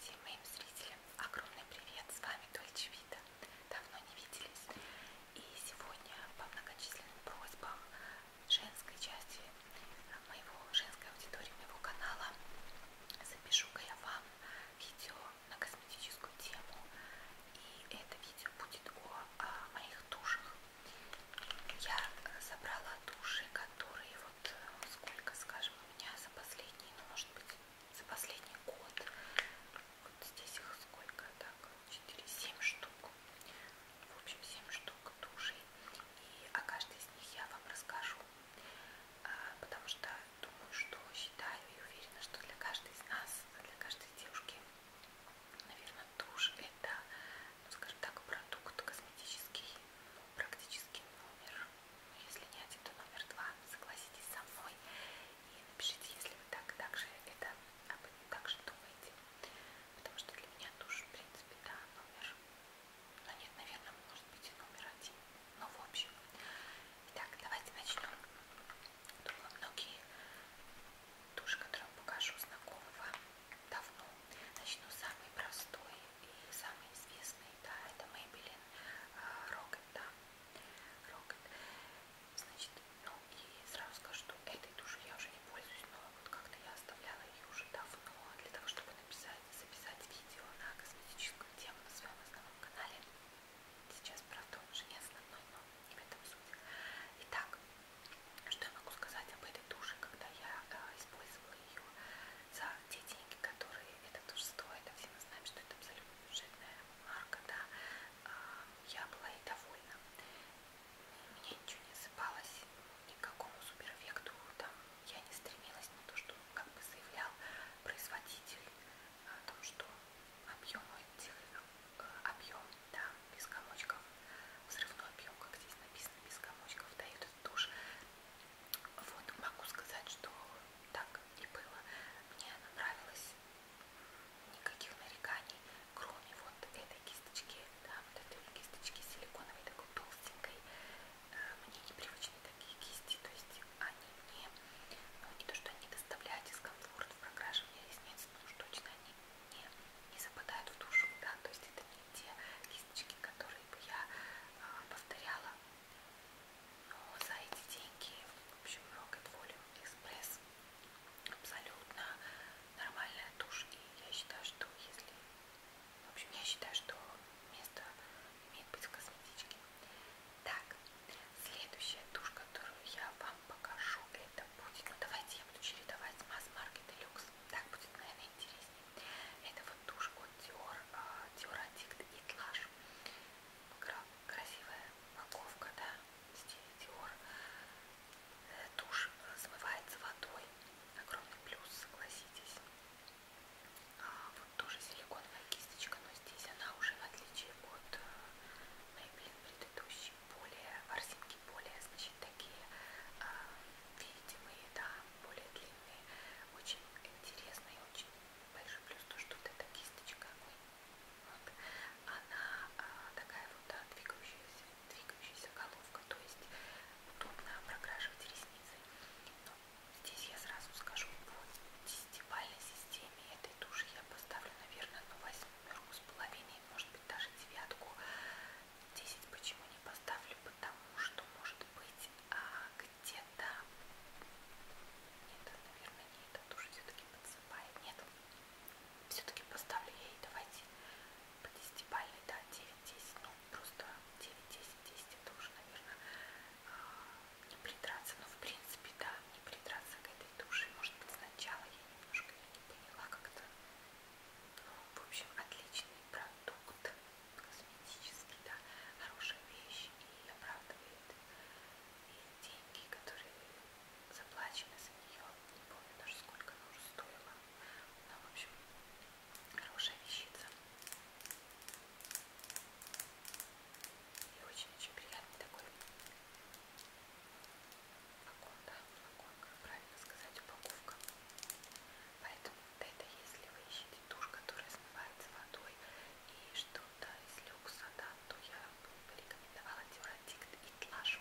Всем моим зрителям огромный привет! С вами Дольче Вита. Давно не виделись. И сегодня по многочисленным просьбам женской части моего женской аудитории, моего канала запишу-ка я вам видео на косметическую тему. И это видео будет о, о моих душах. Я собрала души, которые вот вот сколько, скажем, у меня за последний, ну, может быть, за последний год, вот здесь их сколько, так, 4, 7 штук, в общем, 7 штук душей, и о каждой из них я вам расскажу, а, потому что думаю, что считаю и уверена, что для каждой из нас, для каждой девушки, наверное, тушь это, ну, скажем так, продукт косметический, ну, практически номер если не один, то номер два. Согласитесь со мной и напишите, если вы так, так же это об этом так же думаете. Потому что для меня душ, в принципе, да, номер. Но ну, нет, наверное, может быть и номер один. Но в общем. Итак, давайте начнем. Думаю, многие туши, которые я покажу, знакомы вам давно. Начну с самой простой. И самый известный, да, это Maybelline а, Rocket, да, Rocket. Значит, ну и сразу скажу, что этой тушью я уже не пользуюсь, но вот как-то я оставляла ее уже давно для того, чтобы написать, записать видео на косметическую тему на своем основном канале. Сейчас, правда, он уже не основной, но не в этом суть. Итак, что я могу сказать об этой туши, когда я э, использовала ее за те деньги, которые это тоже стоит, а все мы знаем, что это абсолютно бюджетная марка, да, а, я была и довольна. Меня ничего не осыпалось, ни к какому суперэффекту там я не стремилась, на то, что как бы заявлял производитель о том, что объем этих э, объем, да, без комочков, взрывной объем, как здесь написано, без комочков дают тушь. Вот, могу сказать, что так и было. Мне она нравилась, никаких нареканий, кроме вот этой кисточки, да, вот этой кисточки силиконовой, такой толстенькой. Э, мне непривычны такие кисти, то есть они мне, ну не то, что они доставляют дискомфорт в прокрашивании ресниц, но уж точно они не, не западают в душу, да, то есть это не те кисточки, которые бы я э, повторяла но за эти деньги, в общем, Rocket Volume Express абсолютно нормальная тушь. И я считаю, что если... В общем, я считаю, что место имеет быть в косметичке. Так, следующая тушь, которую я вам покажу, это будет... Ну, давайте я буду чередовать масс-маркет и люкс. Так будет, наверное, интереснее. Это вот тушь от Dior, а, Dior Addict и Tlage. Красивая упаковка, да, в стиле Dior. Тушь э, э, смывается водой. Огромный плюс, согласитесь. А, вот тоже силиконовая кисточка, но здесь она уже, в отличие от Maybelline э, предыдущей, более, ворсинки более, значит, такие а, видимые, да, более длинные. Очень интересные, очень большой плюс то, что вот эта кисточка, ой, вот, она а, такая вот да, двигающаяся, двигающаяся головка, то есть удобно прокрашивать ресницы. Но здесь я сразу скажу, по десятибальной системе этой туши я поставлю, наверное, на восьмерку с половиной, может быть, даже девятку. 10 почему не поставлю, потому что может быть а, где-то... Нет, наверное, не этот уже все-таки подсыпает. Нет, все-таки поставлю я ей, давайте, по 10 бальной, да, 9-10, ну, просто 9-10-10, это уже, наверное, а, не придраться, но, в принципе, да, не придраться к этой душе, может быть, сначала я немножко не поняла как-то, ну, в общем, отличный продукт косметически, да, хорошая вещь и оправдывает и деньги, которые заплачены за нее, не помню даже сколько она уже стоила, но в общем хорошая вещица и очень-очень приятный такой флакон, да, флакон, как правильно сказать, упаковка. Поэтому это если вы ищете тушь, которая смывается водой и что-то из люкса, да, то я бы порекомендовала Дюратикт и Тлаш.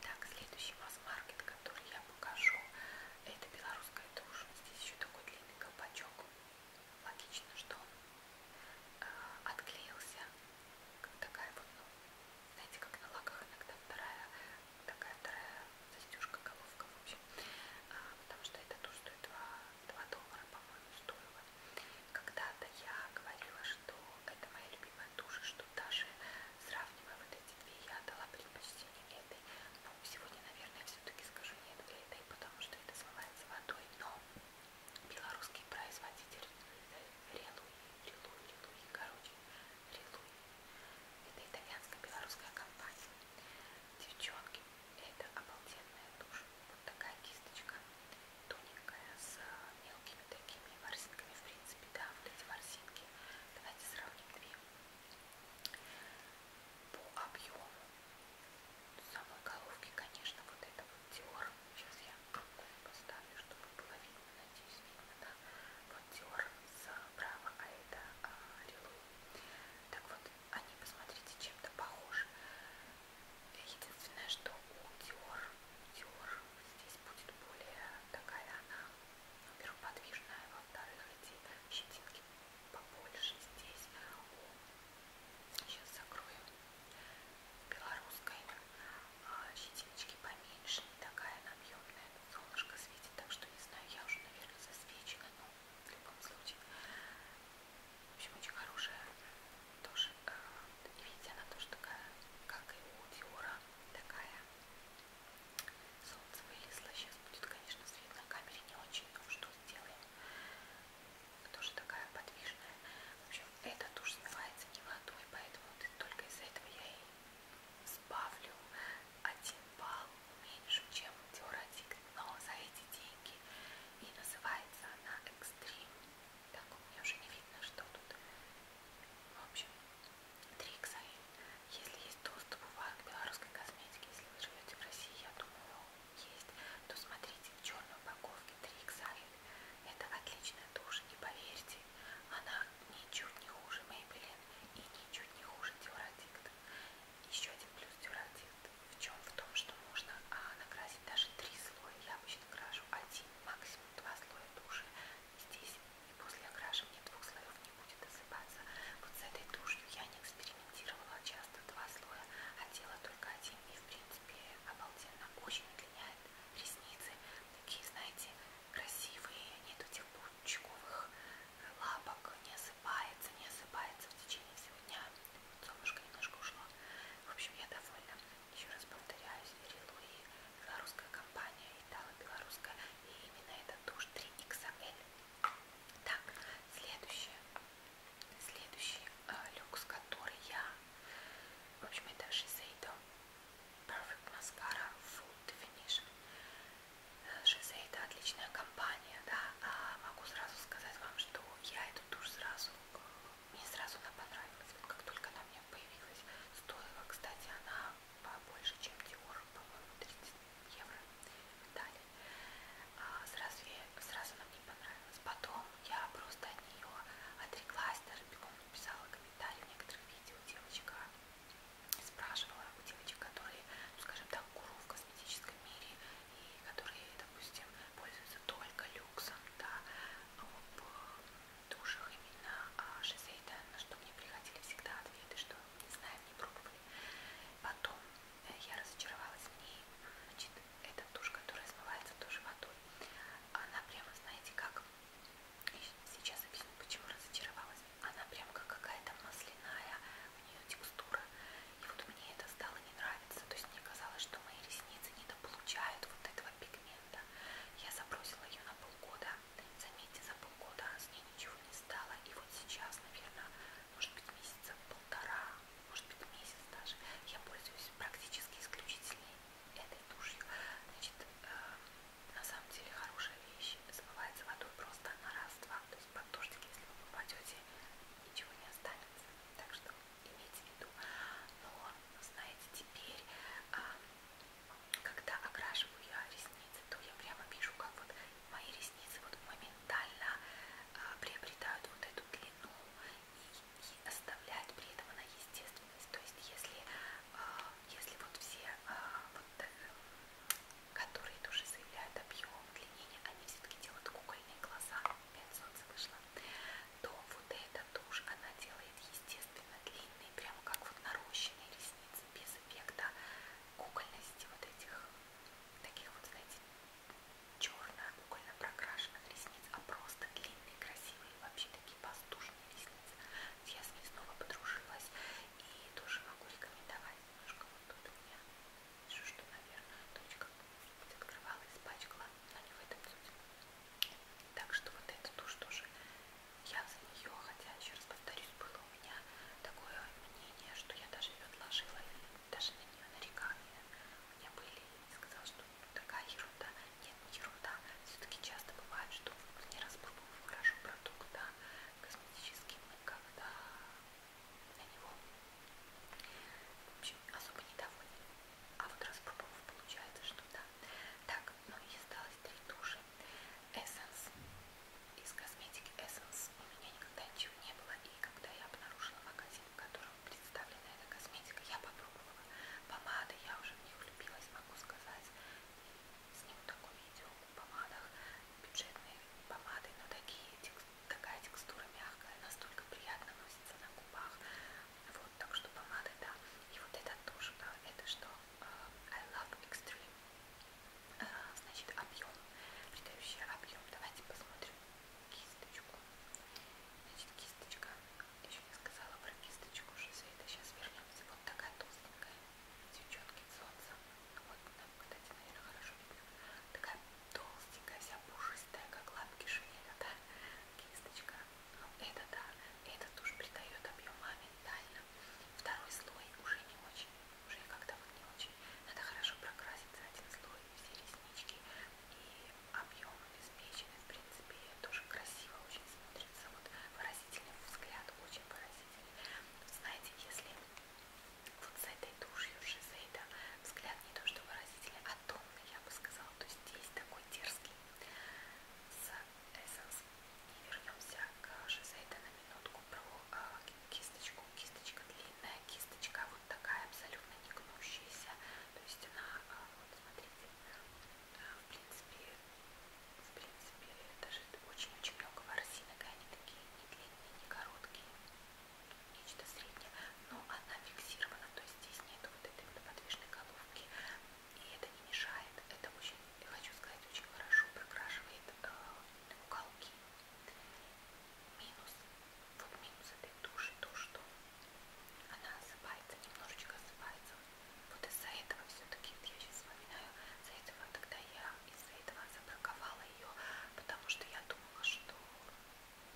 Так, следующий масс-маркет, который я покажу, это белорусская тушь. Здесь еще такой длинный колпачок. Логично, что он э, отклеился. Как такая вот, ну, знаете, как на лаках иногда вторая, такая вторая застежка, головка, в общем, а, потому что это то, что 2, 2 доллара, по-моему, стоило. Когда-то я говорила, что это моя любимая тушь, что даже сравнивая вот эти две, я отдала предпочтение этой. Но ну, сегодня, наверное, все-таки скажу нет для этой, потому что это смывается водой, но белорусский производитель Релуи, Релуи, Релуи, короче, Релуи. Это итальянско-белорусская компания. Девчонки, это обалденная тушь. Вот такая кисточка тоненькая с э, мелкими такими ворсинками. В принципе, да, вот эти ворсинки. Давайте сравним две. По объему самой головки, конечно, вот это вот Dior. Сейчас я поставлю, чтобы было видно. Надеюсь, видно, да? Вот Dior справа, э, а это а, э, Рилу. Так вот, они, посмотрите, чем-то похожи. Единственное, что у Dior, Dior здесь будет более такая она, во-первых, подвижная, во-вторых, эти щетинки побольше здесь. Сейчас закрою белорусской а, щетиночки поменьше, не такая объемная. Солнышко светит, так что не знаю, я уже, наверное, засвечена, но в любом случае. В общем, очень хорошая тоже. Э, и видите, она тоже такая, как и у Диора, такая. Солнце вылезло, сейчас будет, конечно, свет на камере не очень, но что сделаем. Тоже такая подвижная. В общем, эта тушь смывается не водой, поэтому вот только из-за этого я и сбавлю один балл меньше, чем теоретик, но за эти деньги. И называется она Экстрим. Так, мне уже не видно, что тут. В общем, Триксайн. Если есть доступ у вас к белорусской косметике, если вы живете в России, я думаю, есть, то смотрите в черной упаковке Триксайн. Это отличная тушь, и поверьте, она ничуть не хуже Maybelline и ничуть не хуже Теорадикт. Еще один плюс дюрантит в чем? В том, что можно а, накрасить даже три слоя. Я обычно крашу один, максимум два слоя туши. Здесь и после окрашивания двух слоев не будет осыпаться. Вот с этой тушью я не экспериментировала часто два слоя, а делала только один. И в принципе обалденно очень удлиняет ресницы. Такие, знаете, красивые, нету тех паучковых лапок не осыпается, не осыпается в течение всего дня. Солнышко немножко ушло. В общем, я довольна. Еще раз повторяюсь, Рилуи, белорусская компания, итало-белорусская, и именно эта тушь 3XL. Так, следующее, следующий э, люкс, который я, в общем, это Shiseido Perfect Mascara Full Definition. Шизе это отличная компания, да, а могу сразу сказать вам, что я эту тушь сразу, мне сразу она понравилась, вот как только она у меня появилась, стоила, кстати, она побольше, чем Dior, по-моему, 30 евро дали, а сразу, я, сразу она мне понравилась, потом я просто от нее отреклась, даже бегом написала комментарии в некоторых видео, девочка спрашивала у девочек, которые, ну, скажем так, гуру в косметическом мире, и которые, допустим, пользуются только люксом, да, об э, душах именно а, Шизейда, на что мне приходили всегда ответы, что не знаем, не пробовали. Потом э, я разочаровалась в ней, значит, эта тушь, которая смывается тоже водой, она прямо, знаете, как, сейчас объясню, почему разочаровалась, она прям как какая-то масляная, у нее текстура, и вот мне это стало не нравиться. То есть мне казалось, что мои ресницы недополучают вот этого пигмента. Я забросила ее на полгода. Заметьте, за полгода с ней ничего не стало. И вот сейчас, наверное, может быть месяца полтора, может быть месяц даже, я пользуюсь практически исключительно этой тушью. Значит, э, на самом деле хорошая вещь. Смывается водой просто на раз-два. То есть под дождик, если вы попадете, ничего не останется. Так что имейте в виду. Но, знаете, теперь, а, когда окрашиваю я ресницы, то я прямо вижу, как вот мои ресницы вот моментально а, приобретают вот эту длину и, и оставляют при этом она естественность. То есть, если, а, если вот все вот, которые тоже заявляют объем удлинения, они все-таки делают кукольные глаза, 5 солнца вышло, то вот эта тушь, она делает естественно длинные, прямо как вот нарощенные ресницы, без эффекта кукольности вот этих, таких вот, знаете, черно-кукольно прокрашенных ресниц, а просто длинные, красивые, вообще такие пастушные ресницы. Я с ней снова подружилась и тоже могу рекомендовать немножко вот тут у меня Вижу, что, наверное, точка открывала, испачкала, но не в этом суть. Так что вот эту тушь тоже я за нее, хотя, еще раз повторюсь, было у меня такое мнение, что я даже ее отложила, даже на нее нарекания у меня были, и сказала, что ну, такая ерунда, нет, не ерунда, все-таки часто бывает, что не распробовав хорошо продукт, да, косметический, когда на него. В общем, особо недоволен. А вот распробовав, получается, что да. Так, ну и осталось три туши. Essence. Из косметики Essence у меня никогда ничего не было. И когда я обнаружила магазин, в котором представлена эта косметика, я попробовала. Помады я уже в них влюбилась, могу сказать. Сниму такое видео о помадах. Бюджетные помады, но такие текстурные такая текстура мягкая, настолько приятно носится на губах. Вот, так что помады, да. И вот это тоже, это что? А, I love extreme. А, значит, объем, придающий объем. Давайте посмотрим кисточку. Значит, кисточка. Еще не сказала про кисточку, что за это сейчас вернемся. Вот такая толстенькая, с солнца. Вот на кстати, наверное, хорошо люблю. Такая толстенькая, вся пушистая, как лапки шинеля, да? Кисточка. Ну, это да, этот уж придает объем моментально. Второй слой уже не очень, уже как-то вот не очень. Надо хорошо прокрасить за один слой все реснички. И объем обеспечен, в принципе, тоже красиво очень смотрится. Вот выразительный взгляд, очень выразительный. Знаете, если вот с этой тушью Шизейда взгляд не то что выразительный, а томный, я бы сказала. То есть здесь такой дерзкий с Essence. И вернемся к Шизейда на минутку про э, кисточку. Кисточка длинная, кисточка вот такая абсолютно не гнущаяся. То есть она, э, вот смотрите, э, в принципе, в принципе, даже очень-очень много ворсинок, и они такие не длинные, не короткие нечто среднее, но она фиксирована, то есть здесь нет вот этой вот подвижной головки, и это не мешает, это очень, я хочу сказать, очень хорошо прокрашивает э, уголки. Минус, вот минус этой туши, то что она осыпается, немножечко осыпается. Вот из-за этого все-таки, вот я сейчас вспоминаю, из-за этого тогда я из-за этого забраковала ее, потому что я думала, что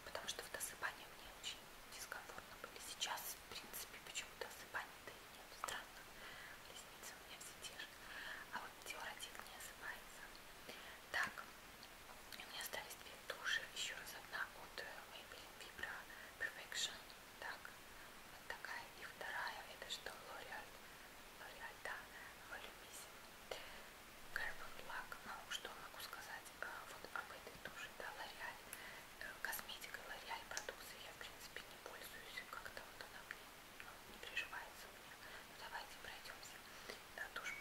Потому что в досыпании мне очень дискомфортно были. Сейчас, в принципе, почему-то досыпания-то и нет. Странно. Ресницы у меня все те же. А вот теоретик не осыпается. Так, у меня остались две туши. Еще раз одна от э, Maybelline Vibra Perfection. Так, вот такая. И вторая, это что? L'Oreal. L'Oreal, да. Volume Carbon Black, ну что могу сказать, а, вот об этой туши, да, L'Oreal, э, косметикой L'Oreal продукции я в принципе не пользуюсь, как-то вот она мне ну, не приживается мне, ну давайте пройдемся, да, тушь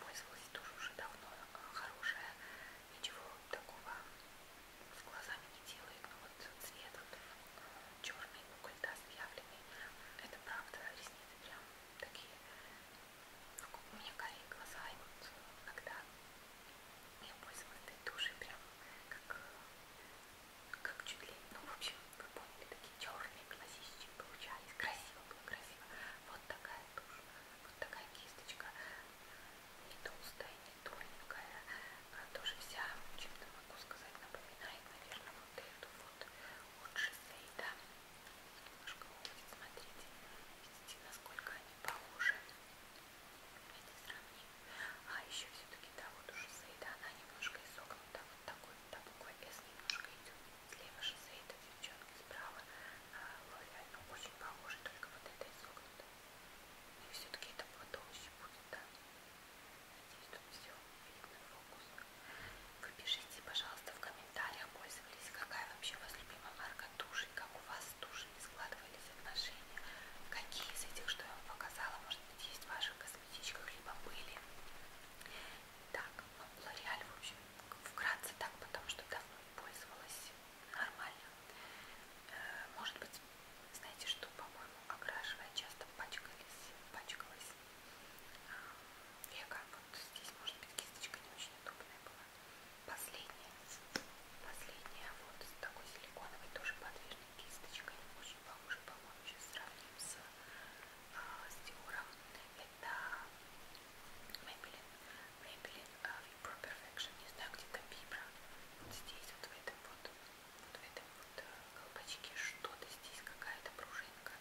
пользовалась тоже уже давно, а, хорошая, ничего такого с глазами не делает, но ну, вот цвет вот, а, черный уголь, да, с явленный, это правда, ресницы прям такие, у меня карие глаза, и вот иногда я пользовалась этой тушей прям как, как чуть ли, ну в общем, вы поняли, такие черные глазищи получались, красиво было, красиво. Вот такая тушь, вот такая кисточка, не толстая, не тоненькая, она тоже вся, чем-то могу сказать, напоминает, наверное, вот эту вот от шоссе, да. Немножко вот смотрите, видите, насколько они похожи. Давайте сравним. А еще все-таки, да, вот у шизеида она немножко изогнута. Вот такой, вот та буква S немножко идет. Слева шизеида, девчонки, справа а, лореаль. Ну, очень похожи, только вот это изогнуто. И все-таки это потолще будет, да. Надеюсь, тут все видно, фокус. Вы пишите, пожалуйста, в комментариях, пользовались, какая вообще у вас любимая марка туши, как у вас с тушами складывались отношения, какие из этих, что я вам показала, может быть, есть в ваших косметичках, либо были. Так, ну, Лореаль, в общем, вкратце так, потому что давно не пользовалась нормально. Э, может быть, знаете что, по-моему, окрашивая часто пачкалась, пачкалась века. Вот здесь, может быть, кисточка не очень удобная была. Последняя. Последняя вот с такой силиконовой, тоже подвижной кисточкой. Очень похоже, по-моему, сейчас сравним с, э, с Диором. Это Maybelline. Maybelline uh, а, Vibro Perfection. Не знаю, где там Vibro. Вот здесь, вот в этом вот, вот в этом вот э, колпачке что-то здесь, какая-то пружинка хорошенько.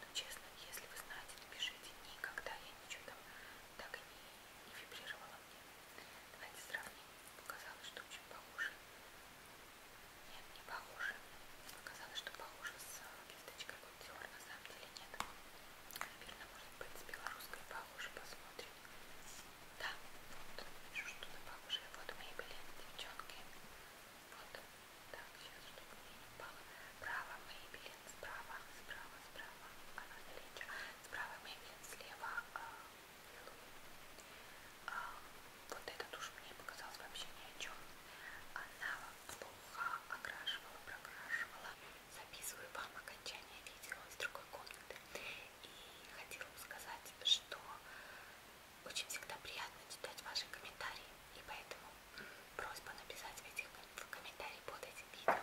Но честно, если вы знаете, напишите. Никогда я ничего там так и не, не вибрировала мне. Давайте сравним. Показалось, что очень похоже. Нет, не похоже. Показалось, что похоже с а, кисточкой Гуттиор. На самом деле нет. Наверное, может быть, с белорусской похоже. Посмотрим. Да, вот вижу что-то похожее. Вот мебели, девчонки. Вот. Так, сейчас, чтобы мне не упало. Право Мейбелин, справа, справа, справа. Она наличие. Справа Мейбелин, слева а, Хэллоуин. А, а, вот эта тушь мне показалась вообще ни о чем. Она плохо окрашивала, прокрашивала. Записываю вам окончание видео из другой комнаты. И хотела бы сказать, что очень всегда приятно читать ваши комментарии. И поэтому просьба написать этих, в комментарии под этим видео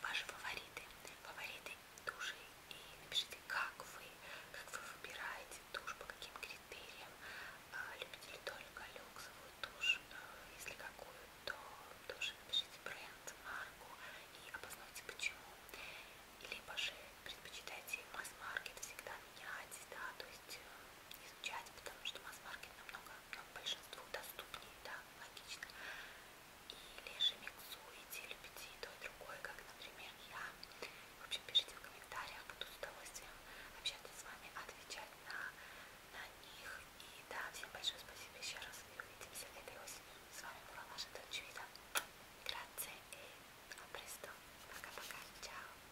ваши фавориты, фавориты души и напишите, как вы, как вы выбираете тушь, по каким критериям, а, любите ли только люксовую тушь, а, если какую, то тоже напишите бренд, марку и обоснуйте почему. Либо же предпочитайте масс-маркет всегда менять, да, то есть э, изучать, потому что масс-маркет намного, ну, большинству доступнее, да, логично. Или же миксуете, любите и то, и другое, как, например, я. В общем, пишите в комментариях, буду с удовольствием общаться с вами, отвечать на, на них. И да, всем большое спасибо еще раз, и увидимся этой осенью. С вами была ваша Дольчевида. Grazie e a presto. Пока-пока. Чао.